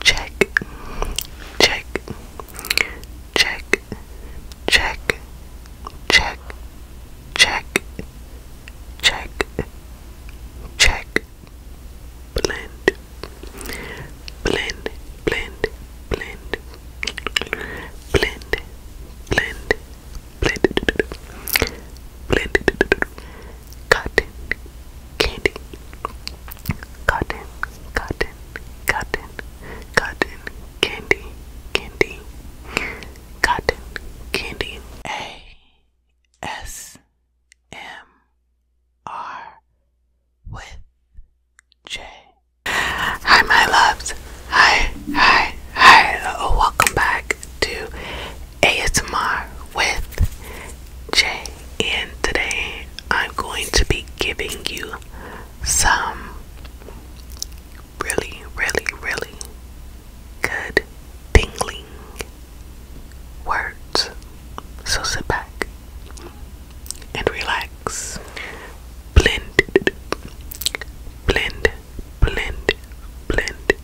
check, check, check, check, check, check, check, check, blend, blend, blend, blend, blend, blend, blend, blend, blend, cotton candy, cotton, cotton, cotton, cotton candy, candy, cotton candy. A S M R with J. Hi, my loves. Hi, hi, hi. Welcome back to ASMR with J and today I'm going to be giving you some really, really, really good tingling words. So sit back and relax. Blend, blend, blend, blend,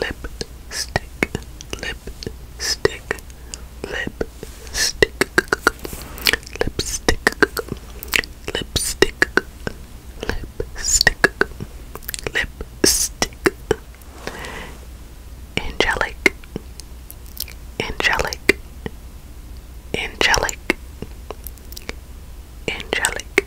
lipstick, lipstick, lipstick, lipstick, lipstick, lipstick, lipstick, angelic, angelic, angelic, angelic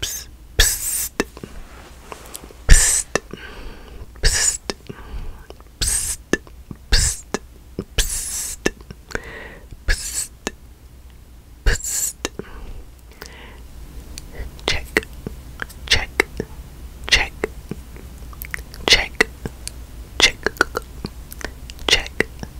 psst, psst, psst, psst, psst, psst, psst, psst, psst. Check, check, check, check, check, check, check,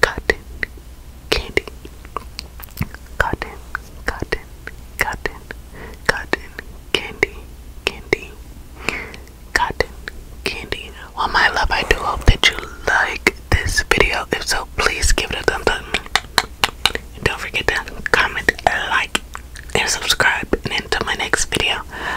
cotton candy. Cotton, cotton, cotton, cotton candy, candy, cotton candy. Well, my love, I do hope that you like this video. If so, please give it a thumbs up. don't forget to comment, like, and subscribe. And until my next video,